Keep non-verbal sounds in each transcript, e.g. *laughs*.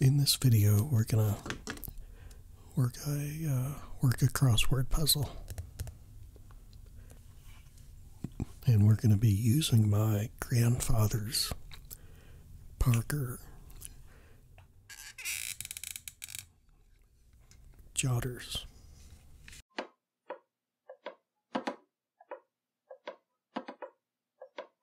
In this video, we're gonna work a uh, work a crossword puzzle, and we're gonna be using my grandfather's Parker jotters.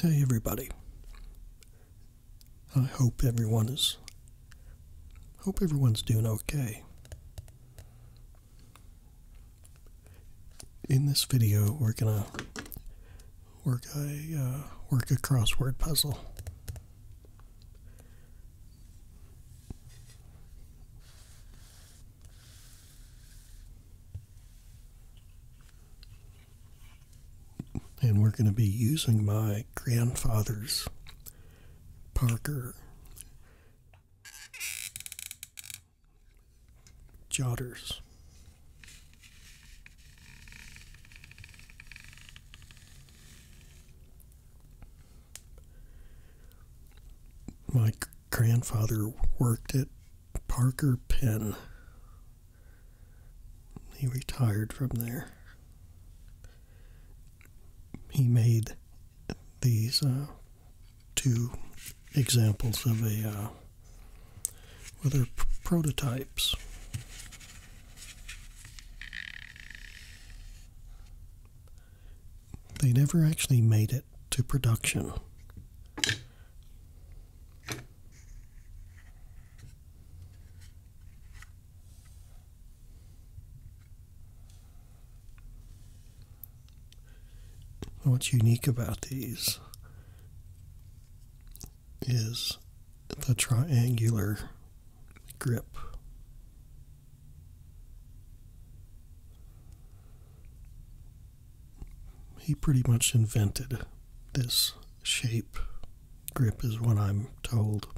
Hey, everybody. I hope everyone is. Hope everyone's doing okay. In this video, we're gonna work a uh, work a crossword puzzle. And we're going to be using my grandfather's Parker jotters. My grandfather worked at Parker Pen. He retired from there. He made these uh, two examples of a uh, well, they're prototypes they never actually made it to production. What's unique about these is the triangular grip. He pretty much invented this shape. Grip is what I'm told.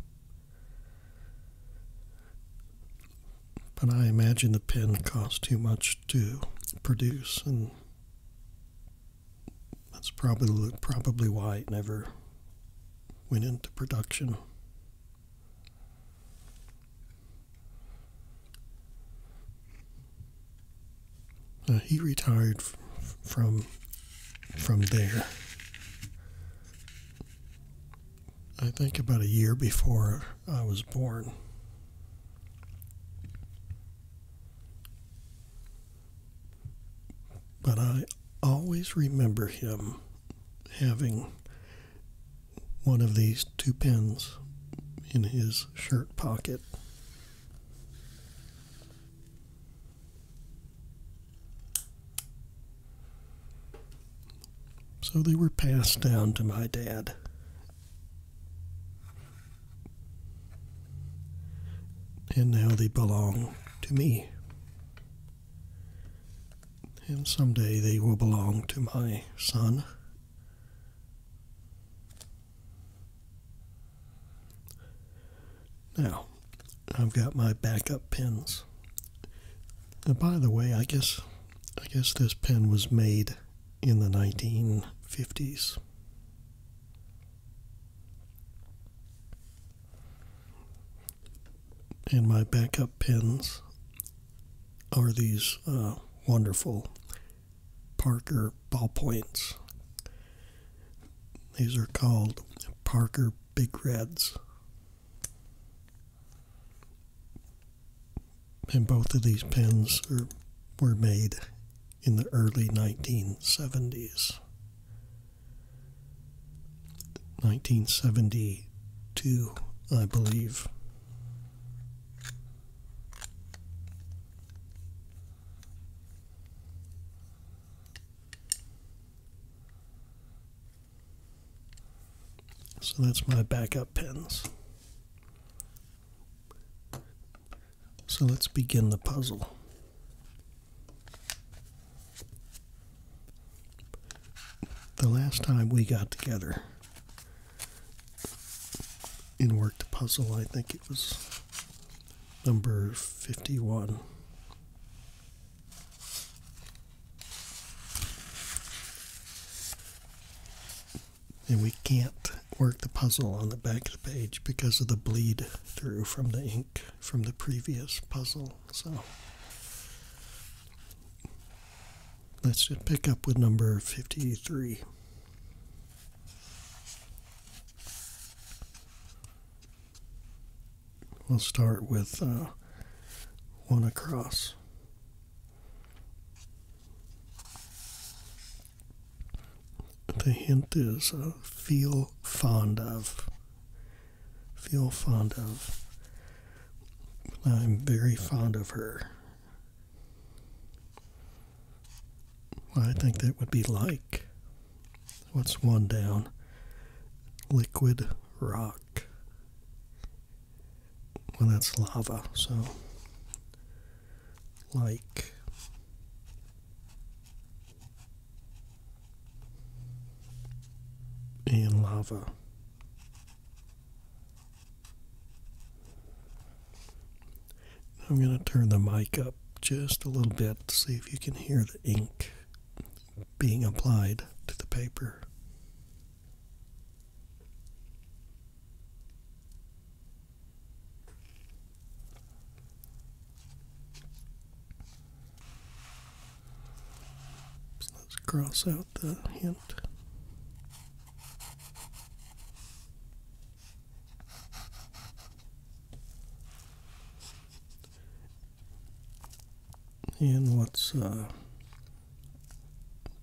But I imagine the pen cost too much to produce, and that's probably probably why it never went into production. Uh, he retired from from there. I think about a year before I was born. But I always remember him having one of these two pins in his shirt pocket. So they were passed down to my dad. And now they belong to me and someday they will belong to my son. Now, I've got my backup pens. by the way, I guess I guess this pen was made in the 1950s. And my backup pens are these uh, wonderful Parker ballpoints. These are called Parker Big Reds. And both of these pens were made in the early 1970s. 1972, I believe. So that's my backup pens. So let's begin the puzzle. The last time we got together in worked a puzzle, I think it was number 51. And we can't work the puzzle on the back of the page because of the bleed through from the ink from the previous puzzle. So let's just pick up with number 53. We'll start with uh, one across. The hint is uh, feel fond of feel fond of. I'm very fond of her. I think that would be like. What's one down? Liquid rock. Well, that's lava, so like. In lava. I'm going to turn the mic up just a little bit to see if you can hear the ink being applied to the paper let's cross out the hint. And what's uh,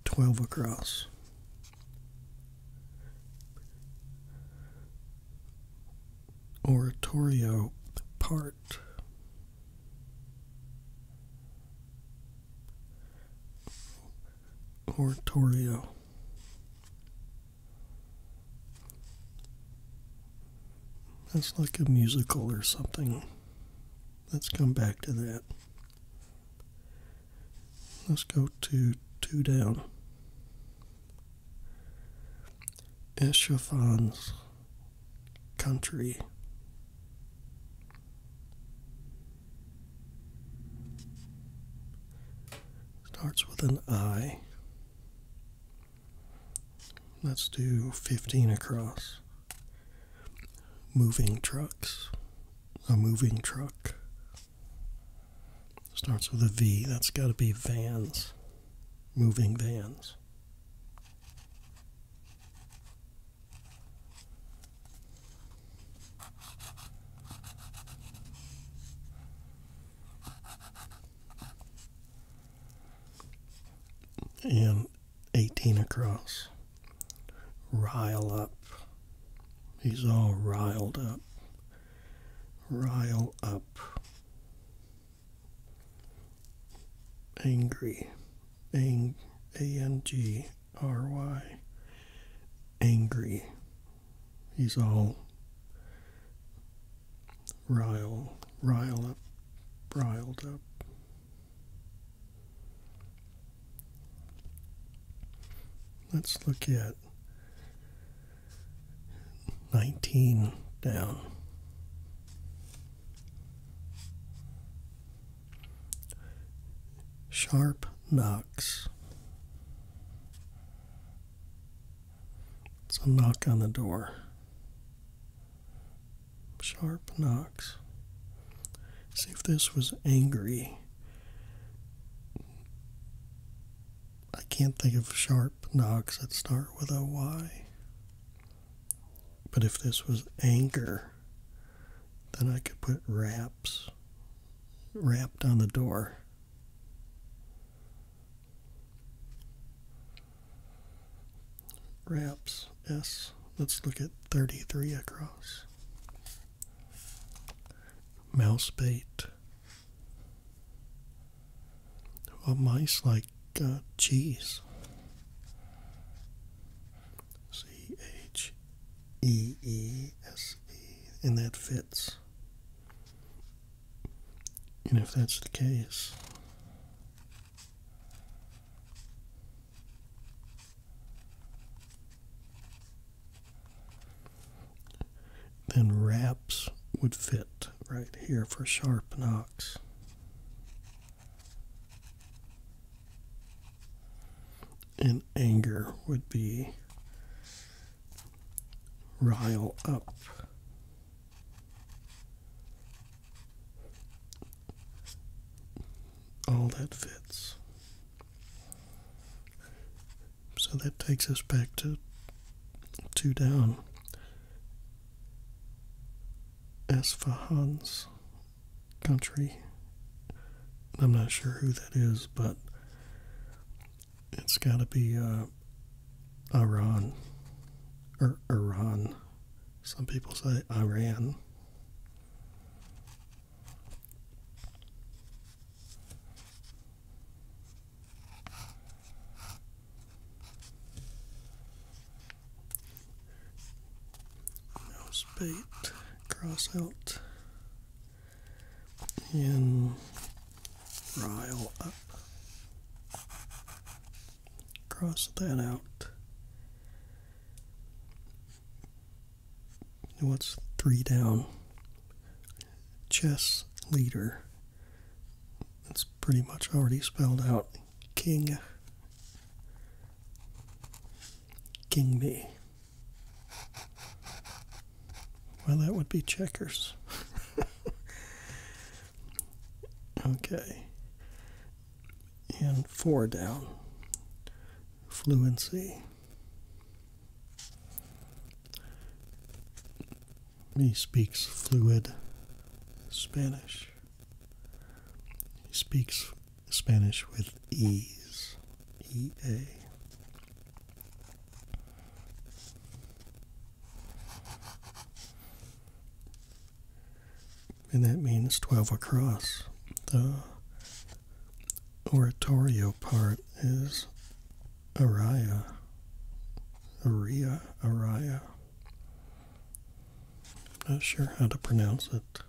12 across? Oratorio part Oratorio. That's like a musical or something. Let's come back to that. Let's go to two down. Eschafan's country. Starts with an I. Let's do 15 across. Moving trucks. A moving truck. Starts with a V. That's got to be vans. Moving vans. And 18 across. Rile up. He's all riled up. Rile up angry, ang, A-N-G-R-Y, angry. He's all riled, rile up, riled up. Let's look at 19 down. Sharp knocks. It's a knock on the door. Sharp knocks. See if this was angry. I can't think of sharp knocks that start with a Y. But if this was anger, then I could put wraps wrapped on the door. Wraps, yes. Let's look at 33 across. Mouse bait. Well, mice like uh, cheese. C H E E S E, and that fits. And if that's the case, then wraps would fit right here for sharp knocks and anger would be rile up. All that fits. So that takes us back to two down as for Hans country, I'm not sure who that is, but it's got to be uh, Iran or Iran. Some people say Iran mouse bait, cross out, and rile up. Cross that out. what's three down? Chess leader. It's pretty much already spelled out. King King me. Well, that would be checkers. *laughs* okay. And four down. Fluency. He speaks fluid Spanish. He speaks Spanish with ease. E A. And that means 12 across. The oratorio part is aria, aria, aria. Not sure how to pronounce it.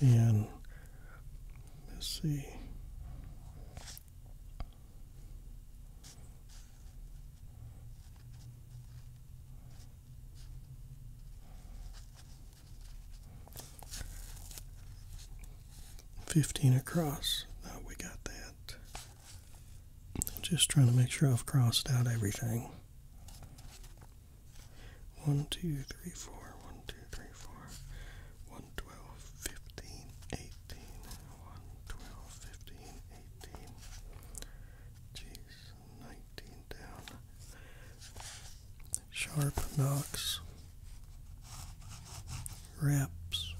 And let's see. 15 across. we got that. Just trying to make sure I've crossed out everything. One, two, three, four. One, two, three, four. One, twelve, fifteen, eighteen. One, twelve, fifteen, eighteen. Jeez. 19 down. Sharp knocks, reps.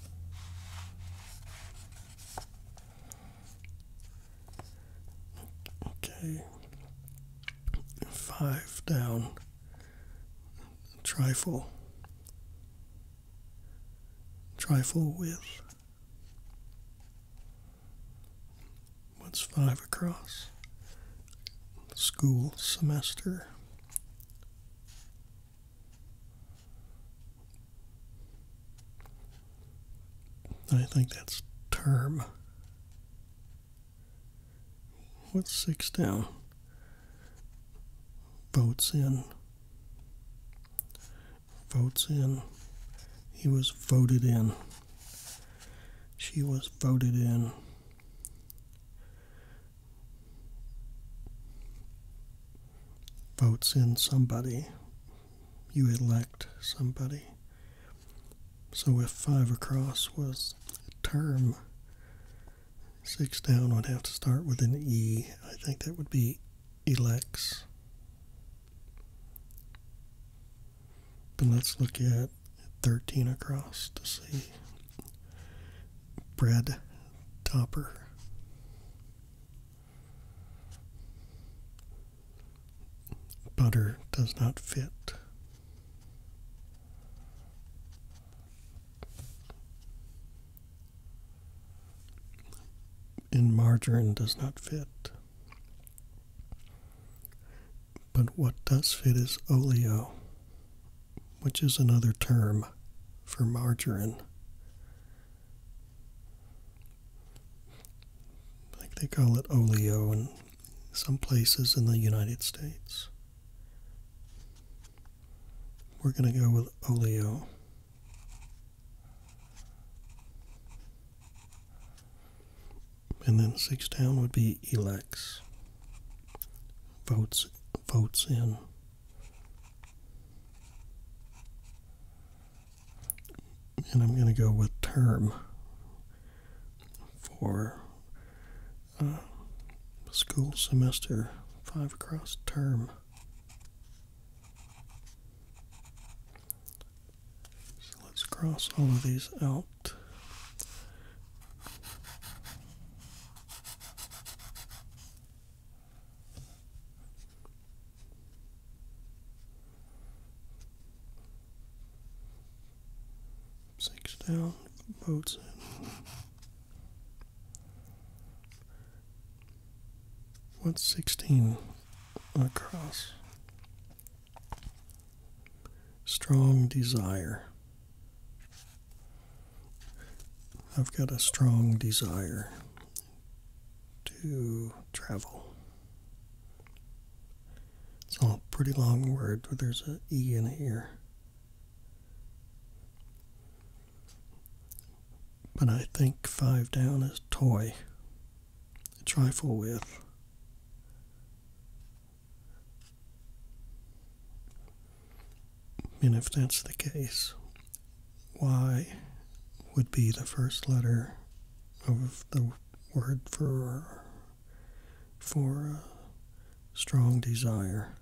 Okay, five down, trifle, trifle with, What's five across? School semester. I think that's term. What's six down? Votes in. Votes in. He was voted in. She was voted in. Votes in somebody. You elect somebody. So if five across was term, six down would have to start with an E. I think that would be elects. But let's look at 13 across to see bread topper. Butter does not fit. in margarine does not fit. But what does fit is oleo, which is another term for margarine. I think they call it oleo in some places in the United States. We're going to go with oleo. And then six down would be elects. Votes votes in. And I'm going to go with term for uh, school semester, five across term. So let's cross all of these out. Six down, votes in. What's sixteen across? Strong desire. I've got a strong desire to travel. It's a pretty long word, there's an E in here. But I think five down is toy, trifle with. And if that's the case, Y would be the first letter of the word for for strong desire.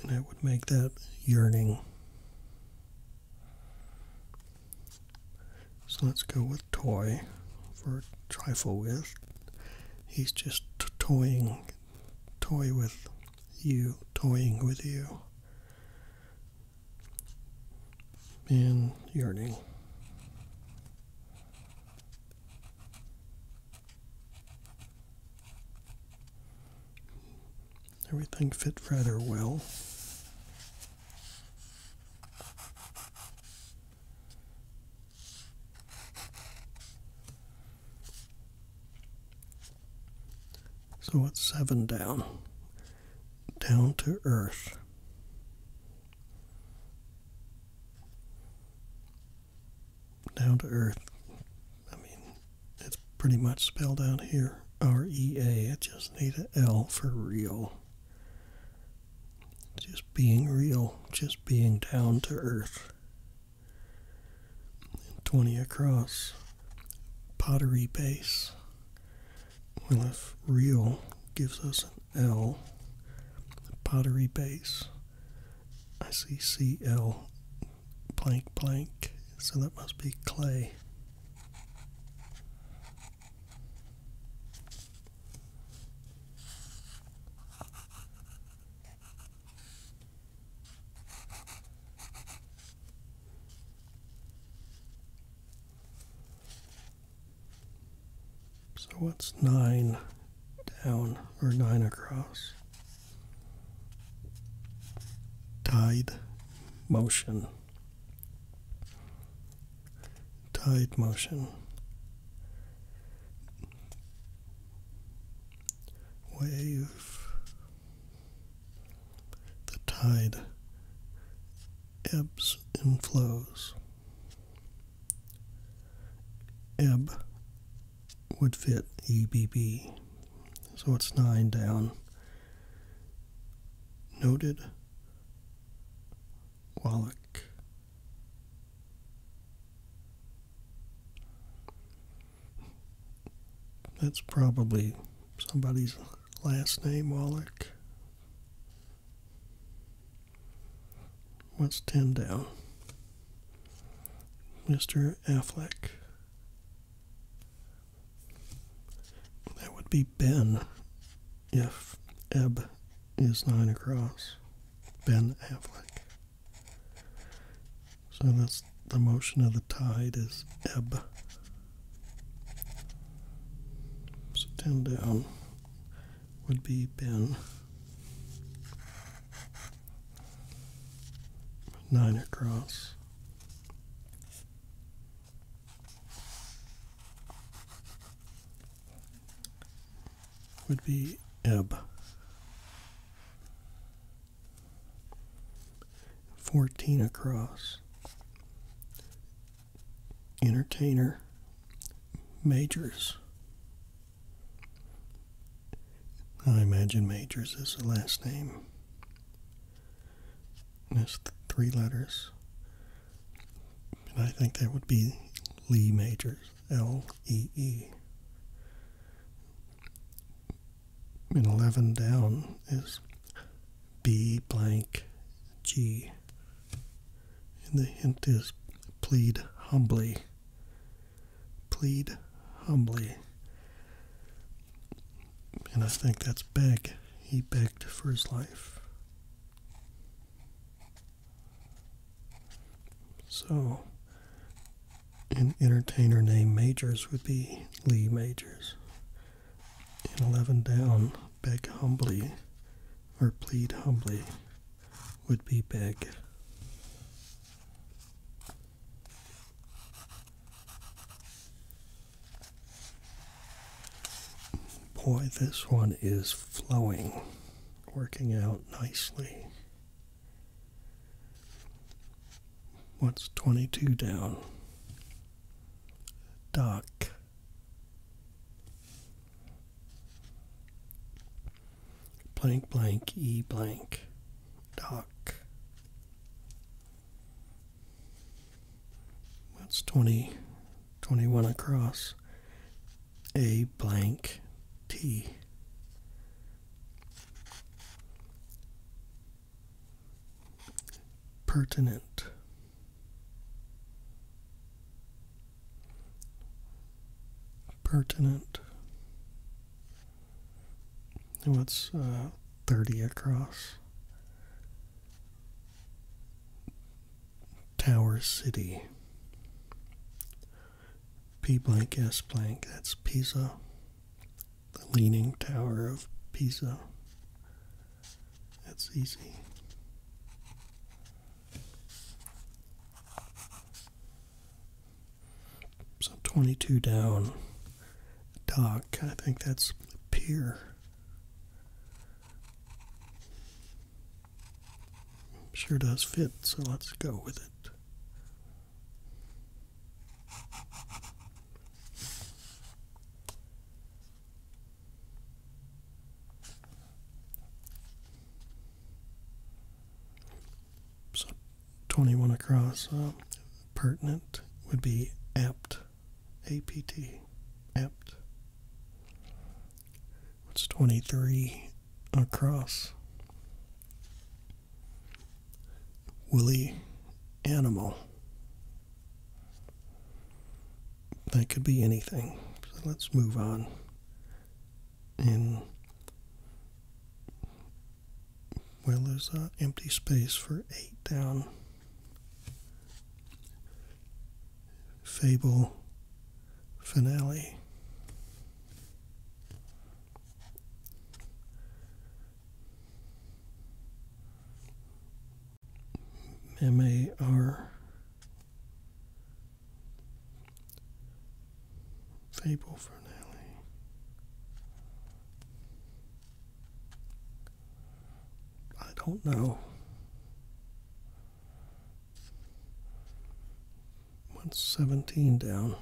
And that would make that yearning. So let's go with toy for trifle with. He's just toying, toy with you, toying with you, and yearning. Everything fit rather well. So it's seven down, down to earth. Down to earth. I mean, it's pretty much spelled out here. R E A. I just need an L for real. Just being real, just being down to earth. 20 across, pottery base. Well, if real gives us an L, pottery base, I see CL blank blank, so that must be clay. So what's nine down or nine across? Tide motion tide motion. Wave the tide ebbs and flows. Ebb would fit EBB, so it's nine down. Noted Wallach that's probably somebody's last name, Wallach. What's 10 down? Mr. Affleck. That would be Ben if Eb is nine across Ben Affleck. So that's the motion of the tide is ebb. So ten down would be Ben. Nine across would be E 14 across. Entertainer majors. I imagine majors is the last name. That's three letters. And I think that would be Lee Majors, L E E. And 11 down is B blank G. And the hint is plead humbly. Plead humbly. And I think that's beg. He begged for his life. So, an entertainer named Majors would be Lee Majors. And 11 down, Beg Humbly, or Plead Humbly, would be Beg. Boy, this one is flowing working out nicely. What's 22 down? Doc. Blank, blank, E blank. Doc. What's 20, across? a blank T. Pertinent. Pertinent. What's uh, 30 across? Tower City. P blank S blank, that's Pisa, the Leaning Tower of Pisa. That's easy. So 22 down, dock, I think that's pier. Sure does fit, so let's go with it. So 21 across, uh, pertinent would be apt, APT, apt. What's 23 across? Woolly animal. That could be anything. So let's move on. And well, there's an empty space for eight down. Fable finale. M A R Fable Finale. I don't know. 117 down.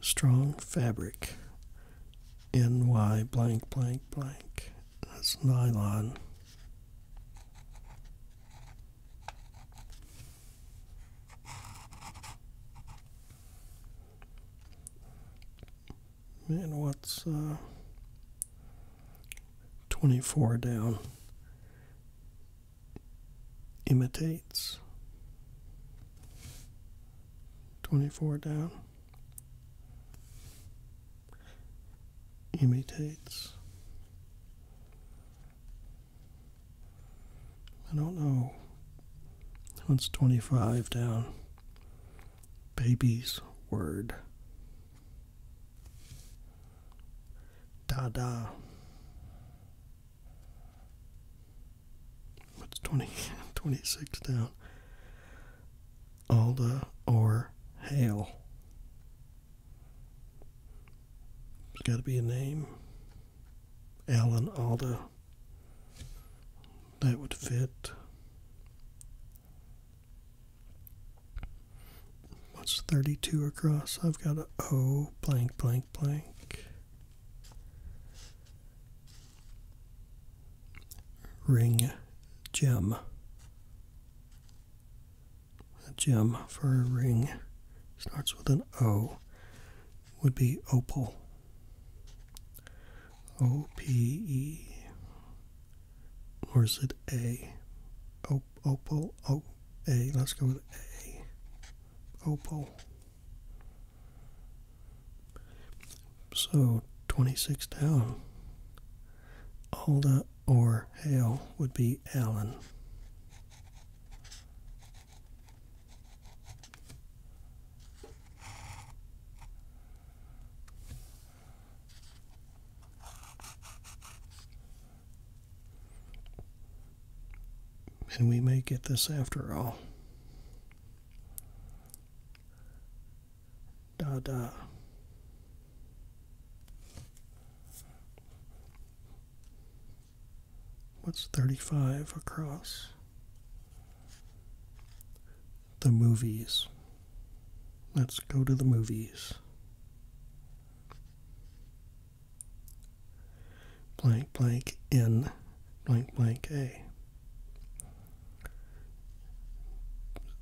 Strong fabric. NY blank blank blank. That's nylon. Man, what's uh, 24 down imitates 24 down imitates I don't know what's 25 down baby's word Dada. What's 20, *laughs* 26 down? Alda or Hale. it has got to be a name. Alan Alda. That would fit. What's 32 across? I've got O blank blank blank. Ring gem. A gem for a ring starts with an O would be opal. O P E or is it A? Oh, opal. Oh, A. Let's go with A. Opal. So 26 down. Alda or Hale would be Allen. And we may get this after all. Da What's 35 across? The movies. Let's go to the movies blank blank N blank blank A.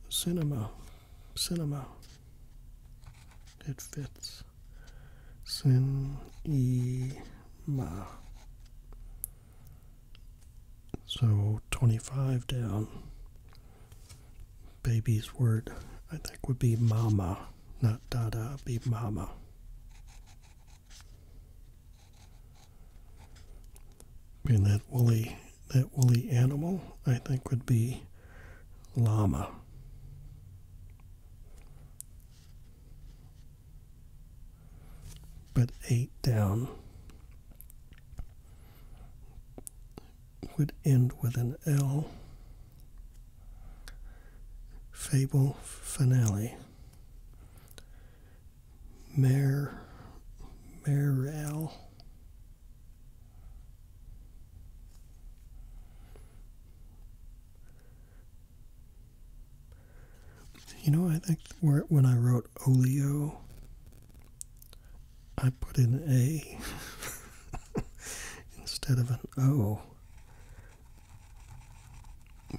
Cinema, cinema. It fits. Cinema. So 25 down baby's word, I think, would be mama, not dada, be mama. And that woolly, that woolly animal, I think, would be llama. But eight down would end with an L. Fable finale. Mare, Marel. You know, I think when I wrote Olio, I put in A *laughs* instead of an O.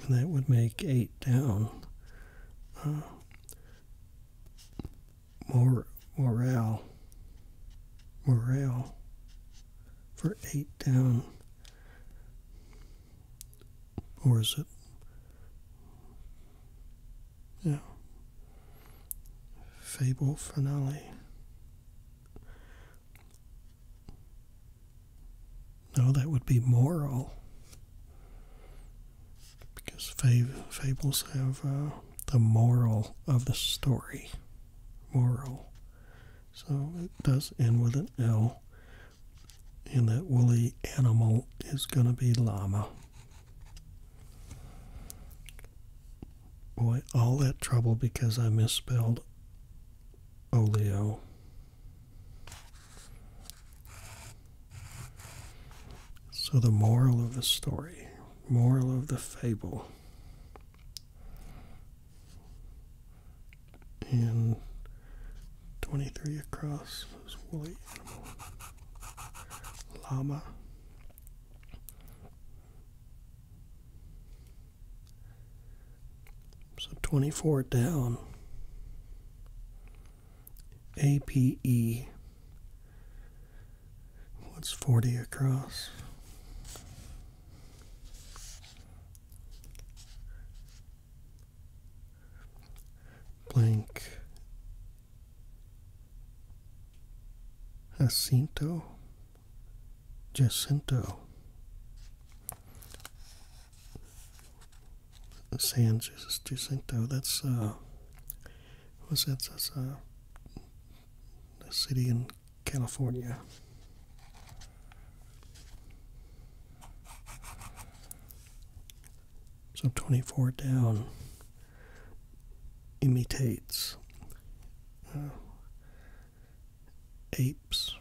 That would make 8 down. Uh, morale. Morale for 8 down. Or is it? Yeah. Fable finale. No, that would be moral. Because fables have uh, the moral of the story. Moral. So it does end with an L. And that woolly animal is going to be llama. Boy, all that trouble because I misspelled oleo. So, the moral of the story, moral of the fable, and 23 across was woolly animal, llama, so 24 down. APE. What's 40 across? Blank. Jacinto. Jacinto San Jacinto. That's uh, what's That's a uh, city in California. So 24 down imitates apes.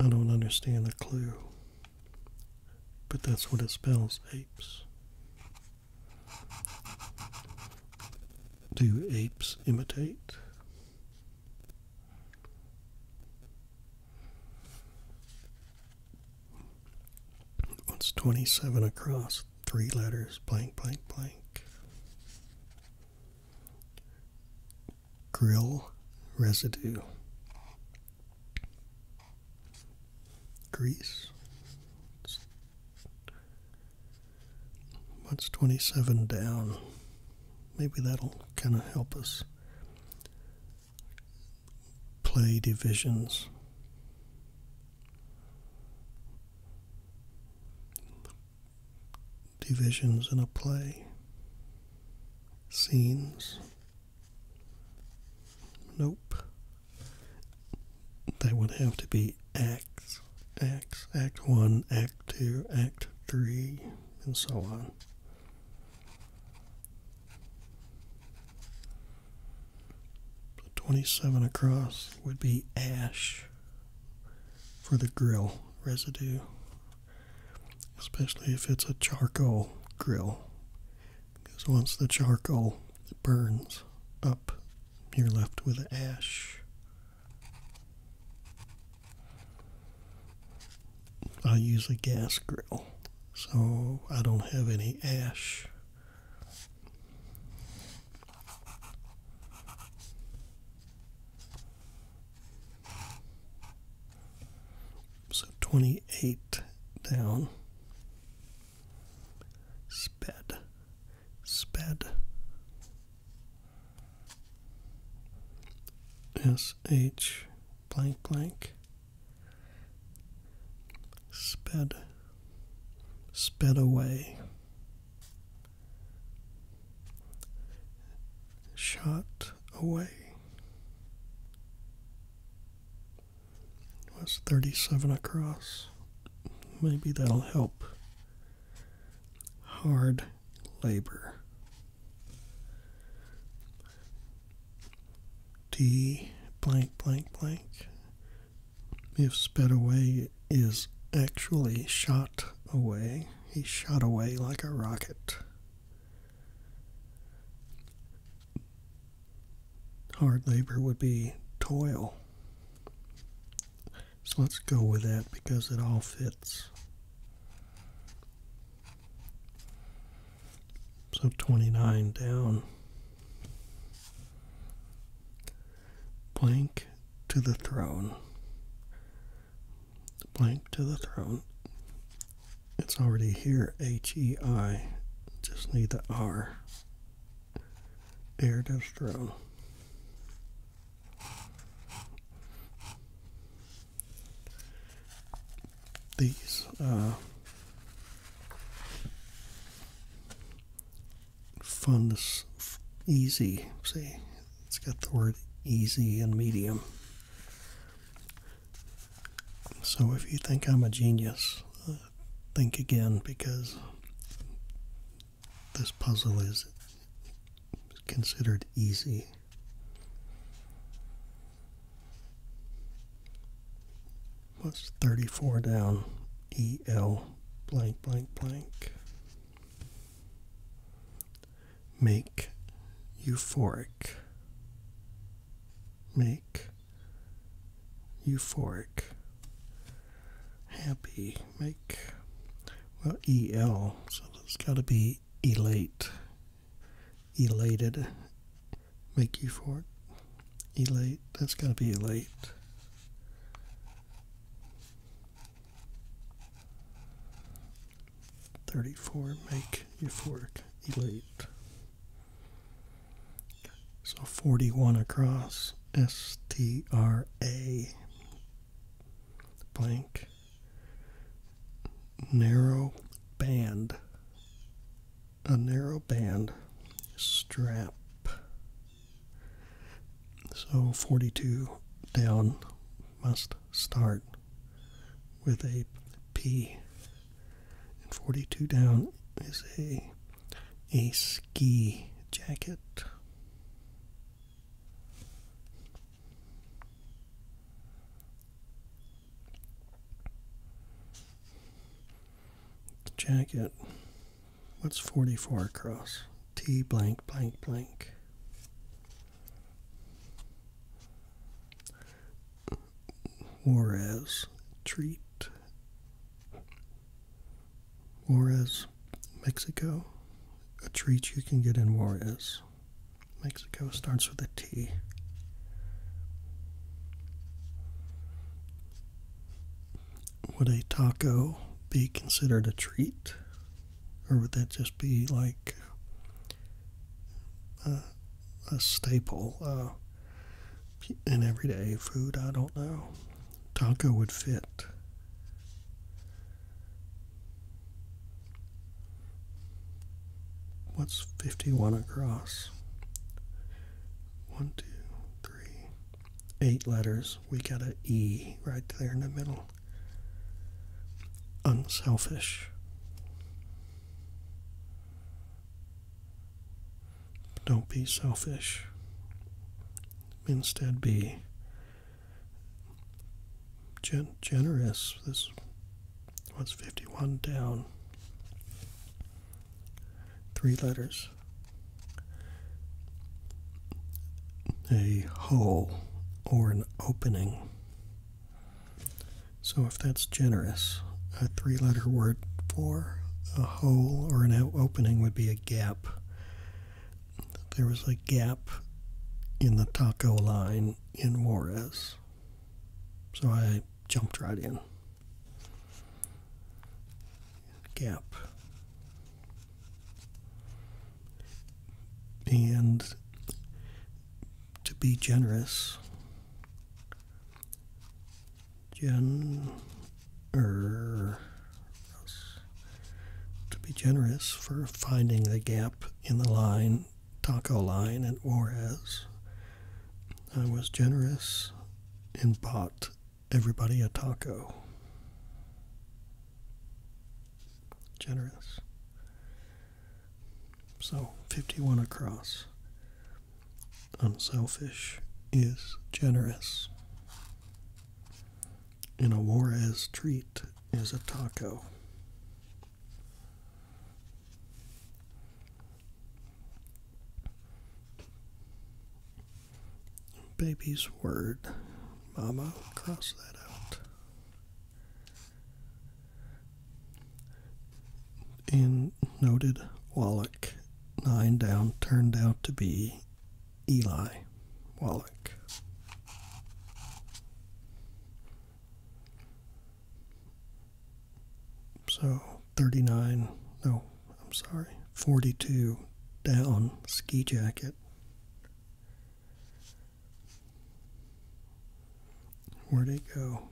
I don't understand the clue, but that's what it spells apes. Do apes imitate? What's 27 across? Three letters, blank, blank, blank. Grill residue. Grease. What's 27 down? Maybe that'll kind of help us play divisions. Divisions in a play, scenes. Nope. They would have to be acts, acts, act one, act two, act three, and so on. So 27 across would be ash for the grill residue, especially if it's a charcoal grill. Because once the charcoal burns up, you're left with ash. I use a gas grill so I don't have any ash. So 28 down. Sped. Sped. S H blank blank sped sped away shot away was 37 across maybe that'll help hard labor d blank blank blank if sped away is actually shot away he shot away like a rocket hard labor would be toil so let's go with that because it all fits so 29 down. Blank to the throne. Blank to the throne. It's already here, H E I. Just need the R. Heir to throne these uh, easy. See, it's got the word easy and medium. So if you think I'm a genius, uh, think again because this puzzle is considered easy. What's 34 down? EL blank blank blank. Make euphoric. Make euphoric. Happy. Make, well, EL, so there's got to be elate. Elated make you for Elate. That's got to be elate. Thirty-four. Make euphoric. Elate. So forty-one across. S T R A blank narrow band a narrow band strap. So 42 down must start with a P. And 42 down is a a ski jacket. The jacket. What's 44 across? T blank blank blank. War treat. Juarez, Mexico. A treat you can get in Juarez. Mexico starts with a T would a taco be considered a treat? Or would that just be like a, staple uh, in everyday food? I don't know. Taco would fit. What's 51 across? one, two, three, eight letters. We got an E right there in the middle. Unselfish. Don't be selfish. Instead, be gen generous. This was 51 down three letters. A hole or an opening. So, if that's generous, a three letter word for a hole or an opening would be a gap. There was a gap in the taco line in Juarez. So I jumped right in gap. And to be generous, gen er, to be generous for finding the gap in the line taco line at Juarez. I was generous and bought everybody a taco. Generous. So, 51 across. Unselfish is generous. And a war, as treat is a taco. Baby's word. Mama, cross that out. In noted Wallach, nine down, turned out to be Eli Wallach. So 39, no, I'm sorry, 42 down ski jacket. Where'd it go?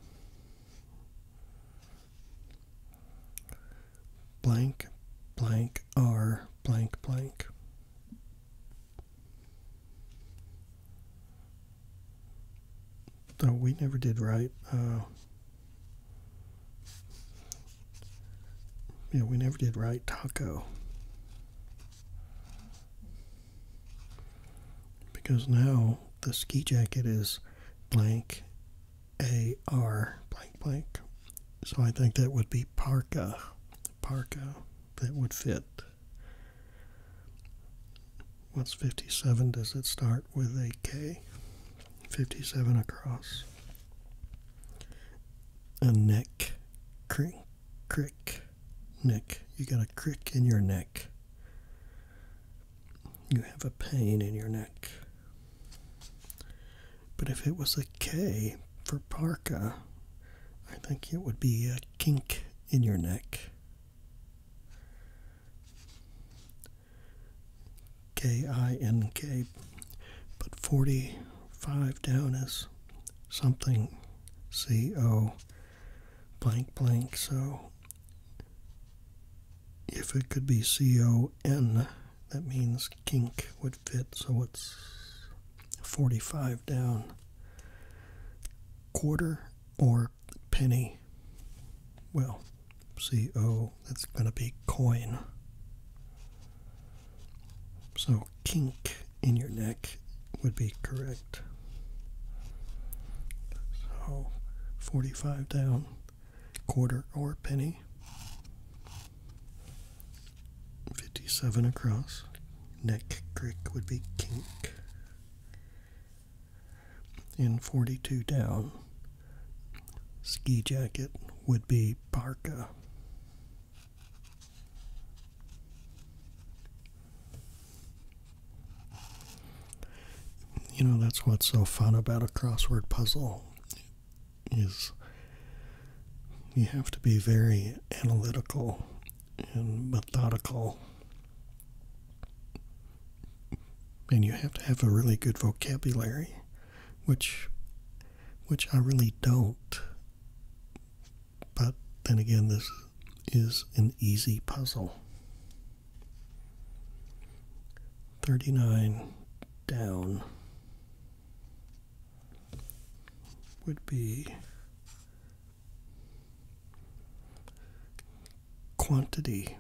Blank, blank, R, blank, blank. Oh, we never did right. Uh, yeah, we never did right taco. Because now the ski jacket is blank AR blank blank. So I think that would be parka. Parka. That would fit. What's 57? Does it start? with a K, 57 across. A neck, crick, crick, neck. You got a crick in your neck. You have a pain in your neck. But if it was a K for parka, I think it would be a kink in your neck. K I N K, but 45 down is something C O blank blank. So if it could be C O N, that means kink would fit. So it's 45 down. Quarter or penny. Well, CO, that's going to be coin. So kink in your neck would be correct. So 45 down, quarter or penny. 57 across. Neck crick would be kink. In 42 down. Ski jacket would be parka. You know, that's what's so fun about a crossword puzzle is you have to be very analytical and methodical and you have to have a really good vocabulary, which which I really don't. But then again, this is an easy puzzle. 39 down would be quantity.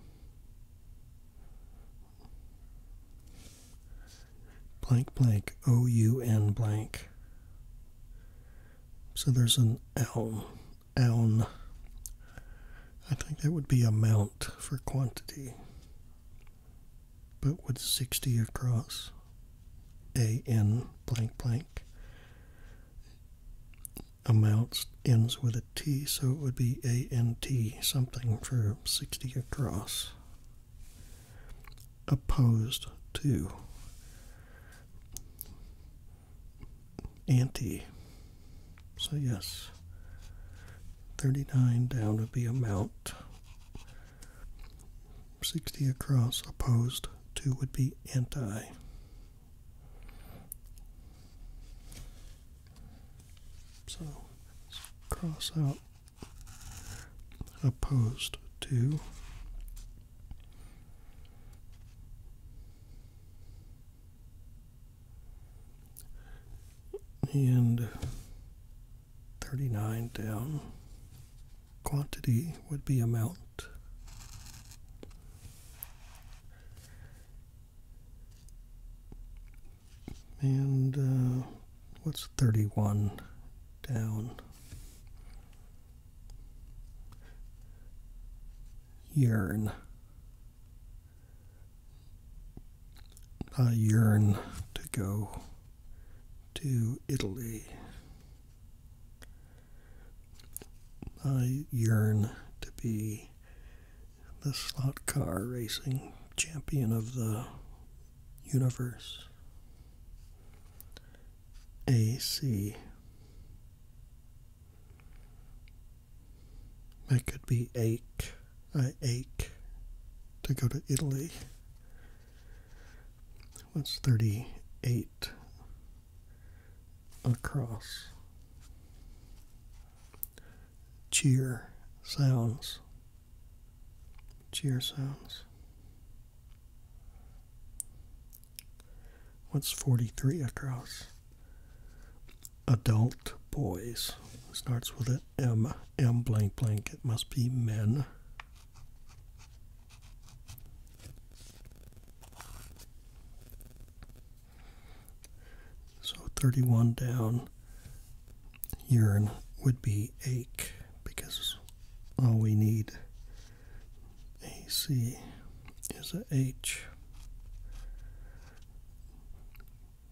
Blank blank, O U N blank. So there's an oun, oun. I think that would be amount for quantity, but with 60 across, A N blank blank. Amounts ends with a T, so it would be ANT something for 60 across. Opposed to. Anti. So, yes, 39 down would be amount. 60 across opposed to would be anti. So let's cross out opposed to. And 39 down. Quantity would be amount and uh, what's 31 down? Yearn. I yearn to go to Italy. I yearn to be the slot car racing champion of the universe. AC. That could be ache. I ache to go to Italy. What's 38 across? cheer sounds. Cheer sounds. What's 43 across? Adult boys. It starts with an M, M blank blank. It must be men. So 31 down, urine would be ache because all we need AC is a H.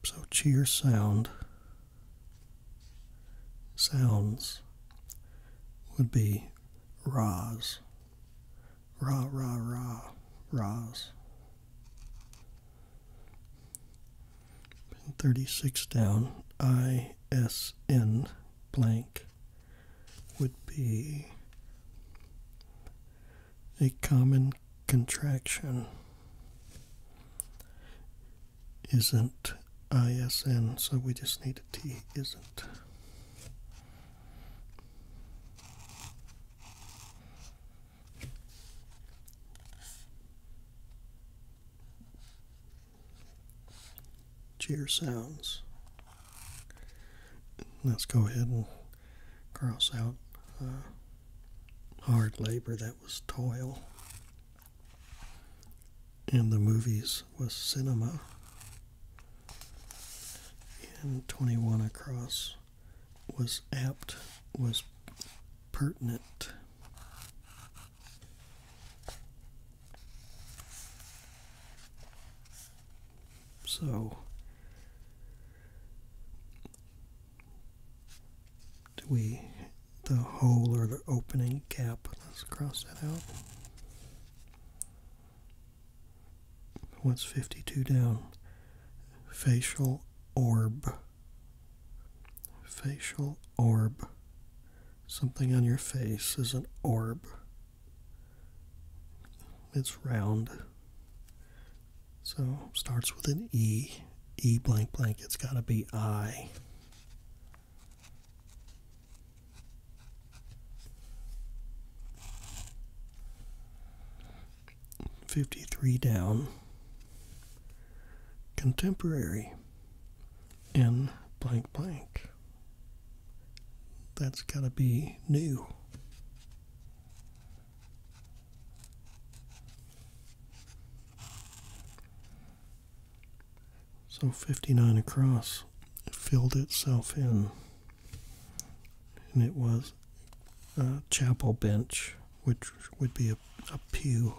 So cheer sound sounds would be rahs. Rah, rah, rah, rahs. 36 down, ISN blank would be a common contraction. Isn't ISN, so we just need a T isn't. Cheer sounds. Let's go ahead and cross out uh, hard labor that was toil. And the movies was cinema. And 21 across was apt, was pertinent. So, do we, the hole or the opening gap, let's cross that out. What's 52 down? Facial orb. Facial orb. Something on your face is an orb. It's round. So starts with an E. E blank blank. It's got to be I. 53 down, contemporary in blank blank. That's got to be new. So 59 across filled itself in, and it was uh, chapel bench, which would be a, pew.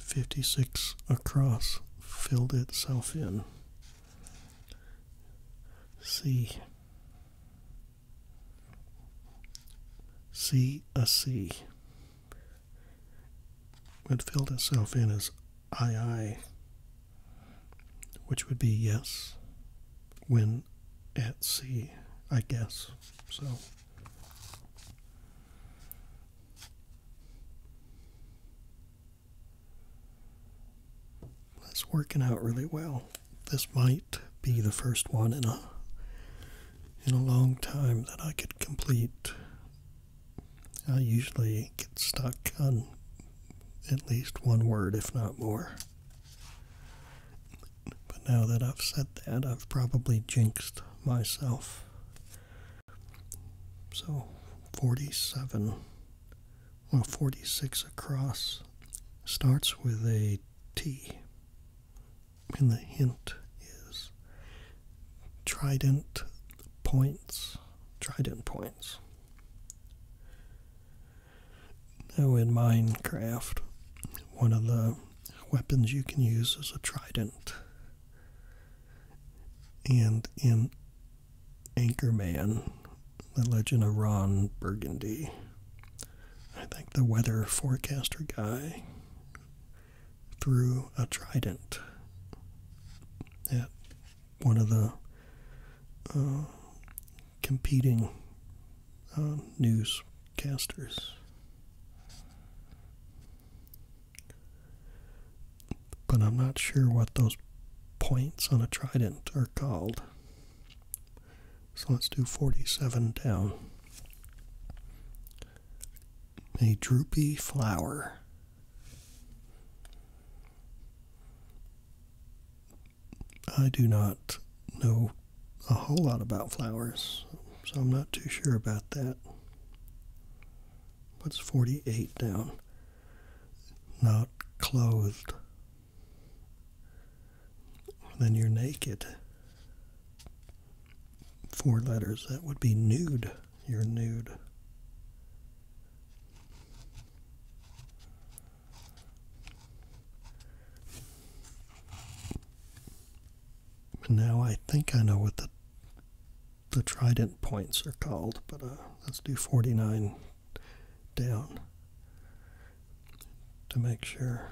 56 across filled itself in. C. C a C. It filled itself in as I I, which would be yes when at sea, I guess. So. That's working out really well. This might be the first one in a in a long time that I could complete. I usually get stuck on at least one word, if not more. But now that I've said that, I've probably jinxed myself. So 47, well, 46 across starts with a T. And the hint is trident points. Trident points. Now, in Minecraft, one of the weapons you can use is a trident. And in Anchorman, The Legend of Ron Burgundy, I think the weather forecaster guy threw a trident at one of the uh, competing uh, newscasters. But I'm not sure what those points on a trident are called. So let's do 47 down. A droopy flower. I do not know a whole lot about flowers, so I'm not too sure about that. What's 48 down? Not clothed. Then you're naked. Four letters. That would be nude. You're nude now I think I know what the the trident points are called, but uh, let's do 49 down to make sure.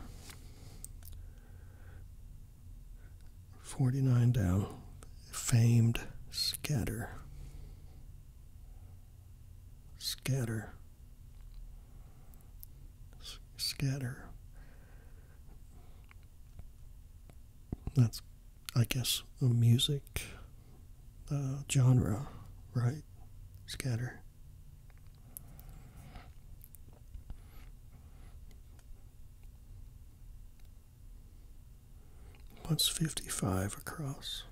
49 down, famed scatter scatter, scatter. That's, I guess, a music uh, genre, right? Scatter. What's 55 across?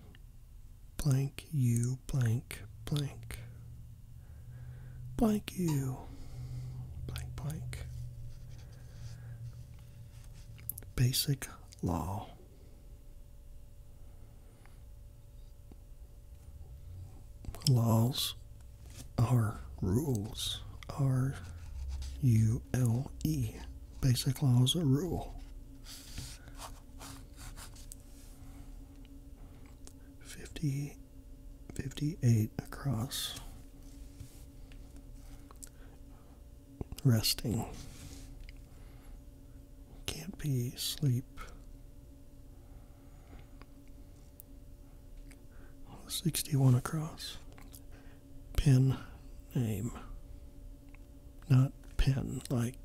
blank you blank blank blank you blank blank basic law laws are rules r u l e basic laws are rule 50, 58 across, resting. Can't be sleep. 61 across. Pin name. Not pin, like,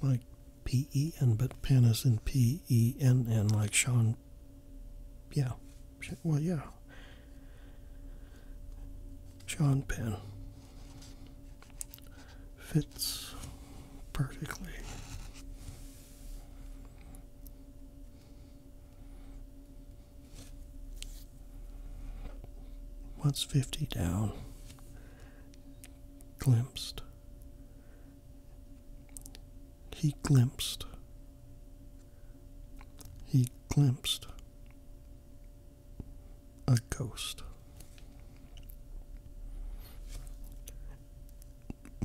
like P E N, but pen is in P E N N, like Sean. Yeah. Well, yeah. John Pen fits perfectly. What's 50 down? Glimpsed. He glimpsed. He glimpsed a ghost.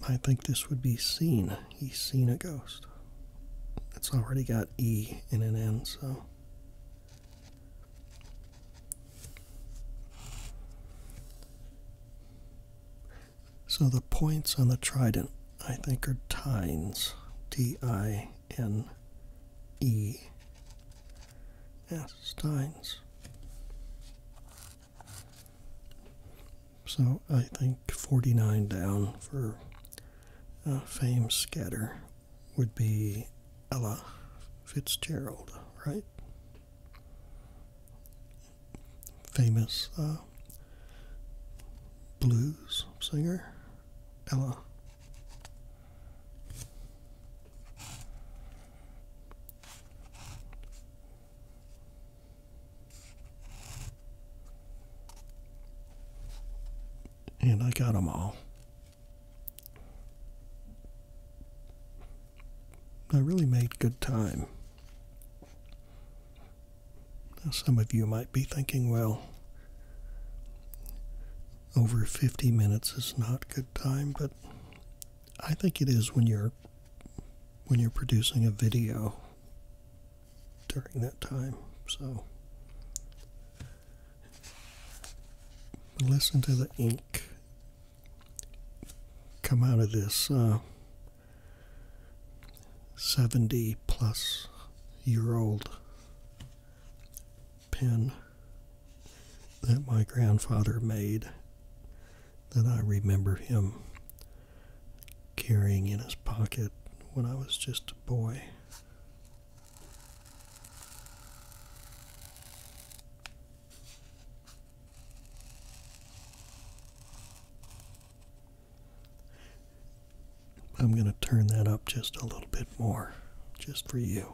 I think this would be seen. He's seen a ghost. It's already got E in an N, so so the points on the trident, I think, are tines. T I N E S. Tines. So I think 49 down for uh, Fame Scatter would be Ella Fitzgerald, right? famous uh, blues singer, Ella. And I got them all. I really made good time. Now, some of you might be thinking, well, over 50 minutes is not good time, but I think it is when you're when you're producing a video during that time. So listen to the ink come out of this uh, 70 plus year old pen that my grandfather made that I remember him carrying in his pocket when I was just a boy. I'm going to turn that up just a little bit more, just for you.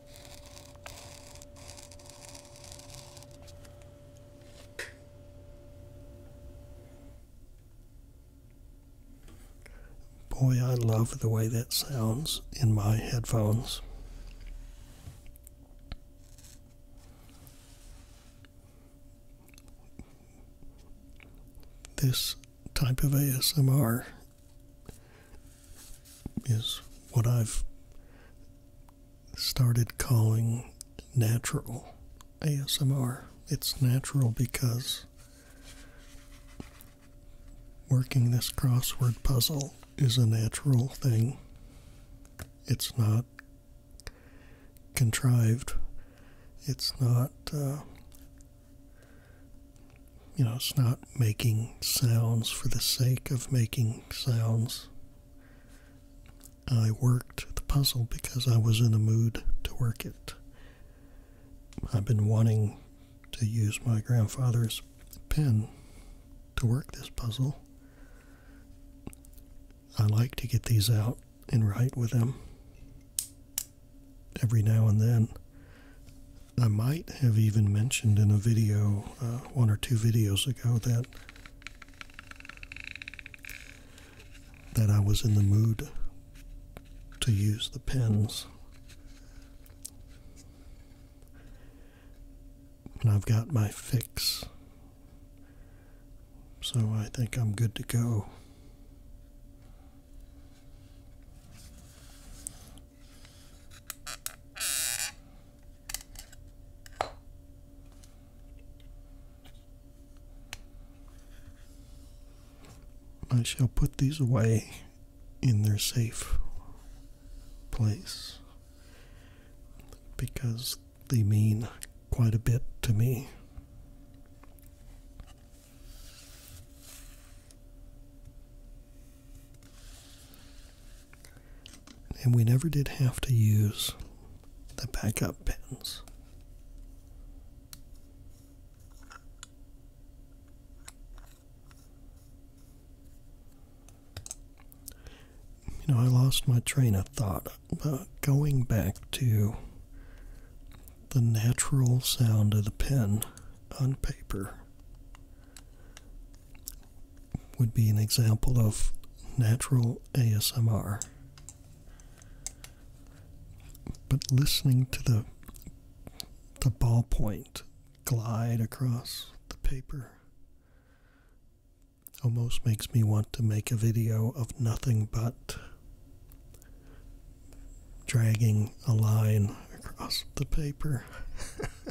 Boy, I love the way that sounds in my headphones. This type of ASMR is what I've started calling natural ASMR. It's natural because working this crossword puzzle is a natural thing. It's not contrived. It's not uh, you know, it's not making sounds for the sake of making sounds. I worked the puzzle because I was in a mood to work it. I've been wanting to use my grandfather's pen to work this puzzle. I like to get these out and write with them every now and then. I might have even mentioned in a video, uh, one or two videos ago, that that I was in the mood to use the pens. And I've got my fix. So I think I'm good to go. I shall put these away in their safe place because they mean quite a bit to me. And we never did have to use the backup pens. You know, I lost my train of thought, but going back to the natural sound of the pen on paper would be an example of natural ASMR. But listening to the the ballpoint glide across the paper almost makes me want to make a video of nothing but dragging a line across the paper. *laughs*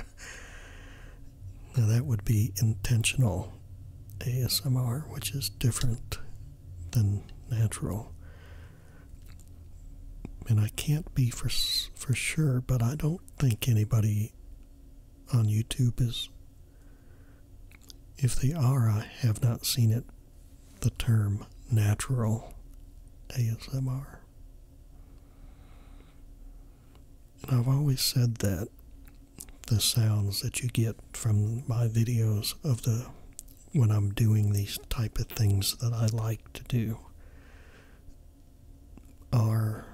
now, that would be intentional ASMR, which is different than natural. And I can't be for, for sure, but I don't think anybody on YouTube is. If they are, I have not seen it, the term natural ASMR. I've always said that the sounds that you get from my videos of the when I'm doing these type of things that I like to do are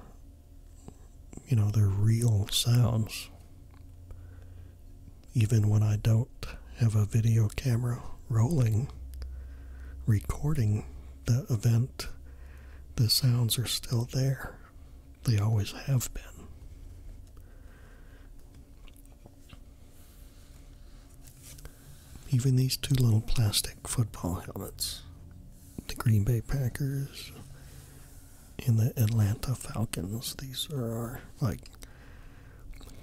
you know they're real sounds even when I don't have a video camera rolling recording the event, the sounds are still there. They always have been. Even these two little plastic football helmets the Green Bay Packers and the Atlanta Falcons. These are like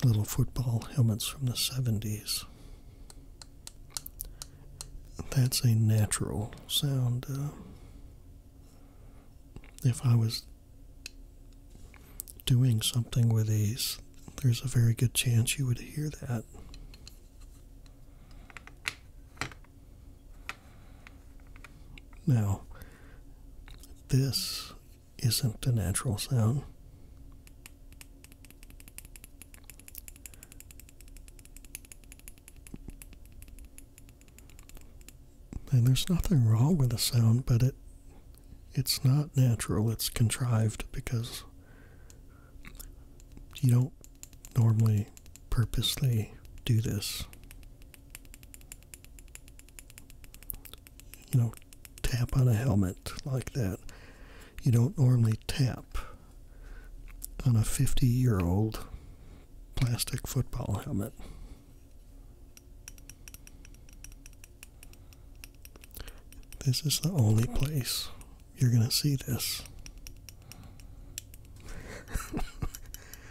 little football helmets from the 70s. That's a natural sound. Uh, if I was doing something with these, there's a very good chance you would hear that. Now, this isn't a natural sound. And there's nothing wrong with the sound, but it it's not natural, it's contrived because you don't normally purposely do this. You know, tap on a helmet like that you don't normally tap on a 50 year old plastic football helmet. This is the only place you're going to see this.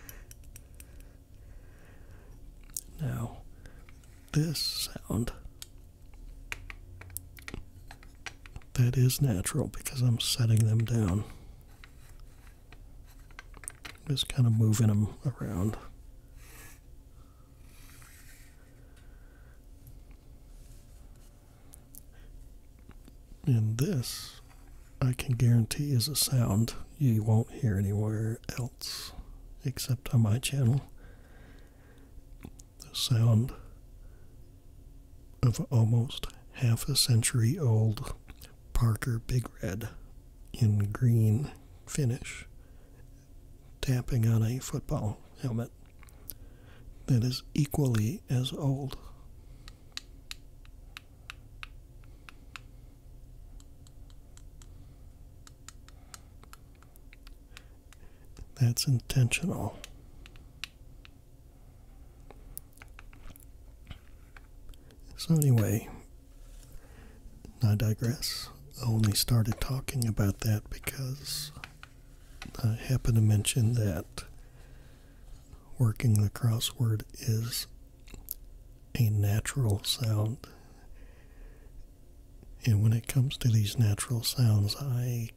*laughs* now, this sound that is natural because I'm setting them down. Just kind of moving them around. And this, I can guarantee, is a sound you won't hear anywhere else except on my channel the sound of almost half a century old Parker Big Red in green finish tapping on a football helmet that is equally as old. That's intentional. So, anyway, I digress. I only started talking about that because I happen to mention that working the crossword is a natural sound. And when it comes to these natural sounds, I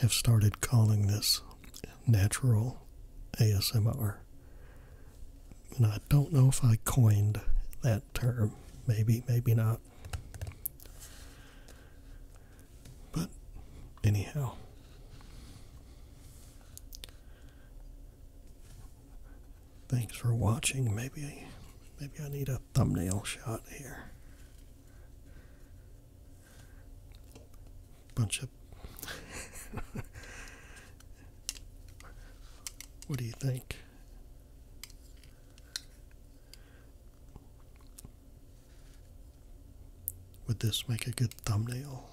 have started calling this natural ASMR. And I don't know if I coined that term. Maybe, maybe not. But anyhow. Thanks for watching. Maybe maybe I need a thumbnail shot here bunch of. what do you think? Would this make a good thumbnail?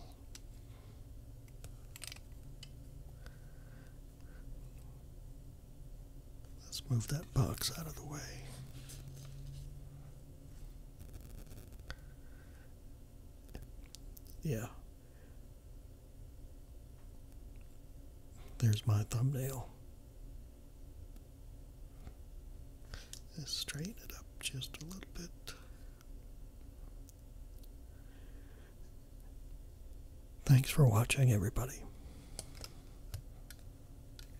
Let's move that box out of the way. Yeah. There's my thumbnail. Let's straighten it up just a little bit. Thanks for watching, everybody.